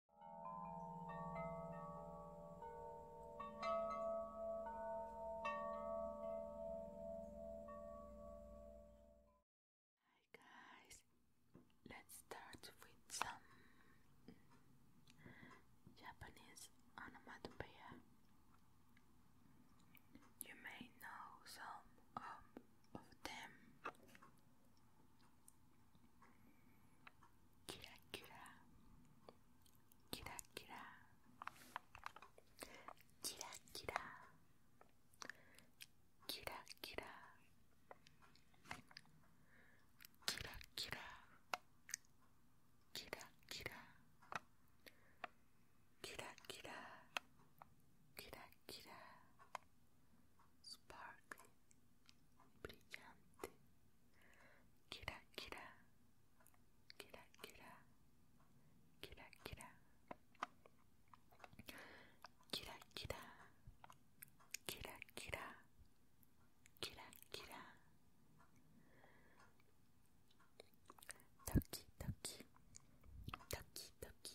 Hi guys, let's start with some Japanese onomatopoeia. You may know some um, of, them. キラキラキラキラキラキラキラキラキラキラキラキラキラキラキラスパーク brillante. Kira, kira, kira, kira, kira, kira, kira, kira, kira, kira, kira, kira. Toki, toki, toki, toki,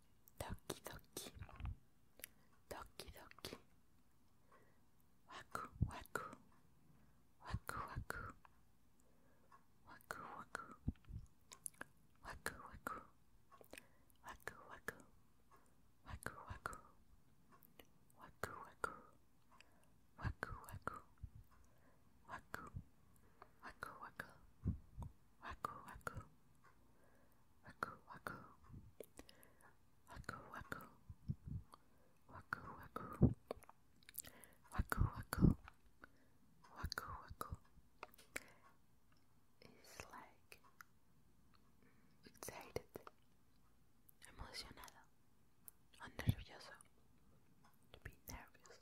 Doki doki. Doki doki. Waku waku. Waku waku. Waku waku. Waku waku. Waku waku. Waku waku. Waku waku. Waku waku. Waku, waku, waku, waku, waku, waku, waku, waku, waku, waku, waku, waku, waku, waku, It's like excited, emocionado, nervioso, to be nervous.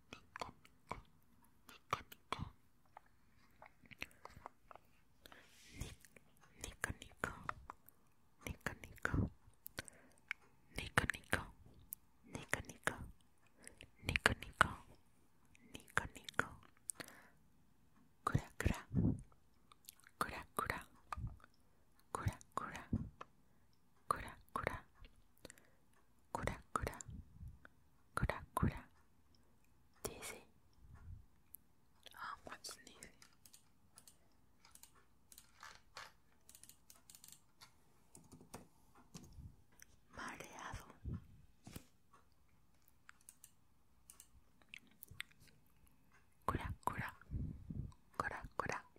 Nico, Nico, Nico, Nico, Nico, Nico, Nico, Nico, Nico, Nico, Nico, Nico, Kura, Kura, Kura, Kura, Kura, Kura, Kura kura. Kura kura. Kura kura. Dizzy. Um, what's sneezy? Mareado. Cura,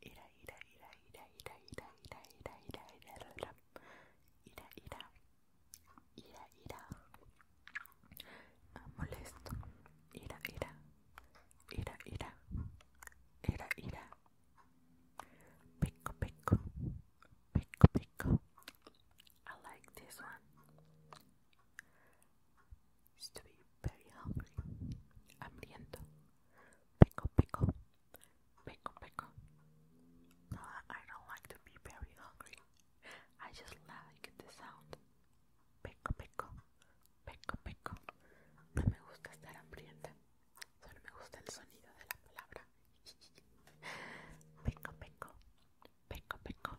Ira, Ida, Ida, Ida, Ida, Ida, Ida, Ida, Ida, Ida, Ida, Ida, Ida, Ida, molesto, Ida, Ida, Ida, Ida, Ida, Ida, Pico, Pico, Pico, Pico. I like this one. to be very hungry. Hambriento. Pico pico. Pico pico. No, I don't like to be very hungry. I just like the sound. Pico pico. Pico pico. No me gusta estar hambrienta. Solo me gusta el sonido de la palabra. Pico pico. Pico pico.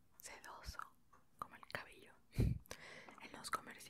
sedoso como el cabello en los comerciales.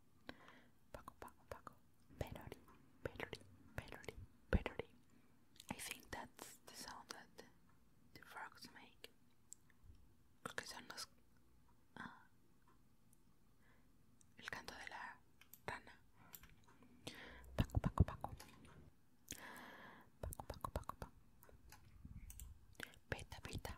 Paco, Paco, Paco. Pelori, pelori, pelori, pelori. I think that's the sound that the frogs make. Creo que son los. Ah. El canto de la rana. Paco, Paco, Paco. Paco, Paco, Paco, Paco. Beta, beta.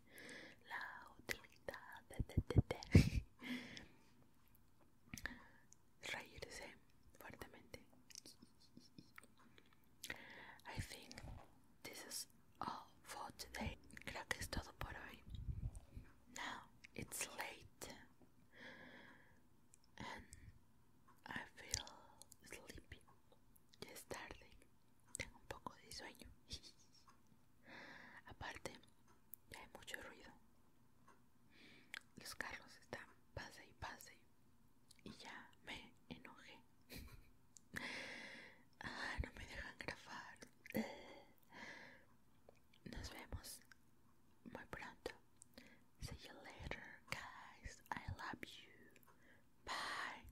I think this is all for today. Creo que es todo por hoy. Now it's late and I feel sleepy. es tarde. Tengo un poco de sueño. Aparte, ya hay mucho ruido. Los carros están pase y pase. Y ya me enojé. ah, no me dejan grabar. Nos vemos muy pronto. See you later, guys. I love you. Bye.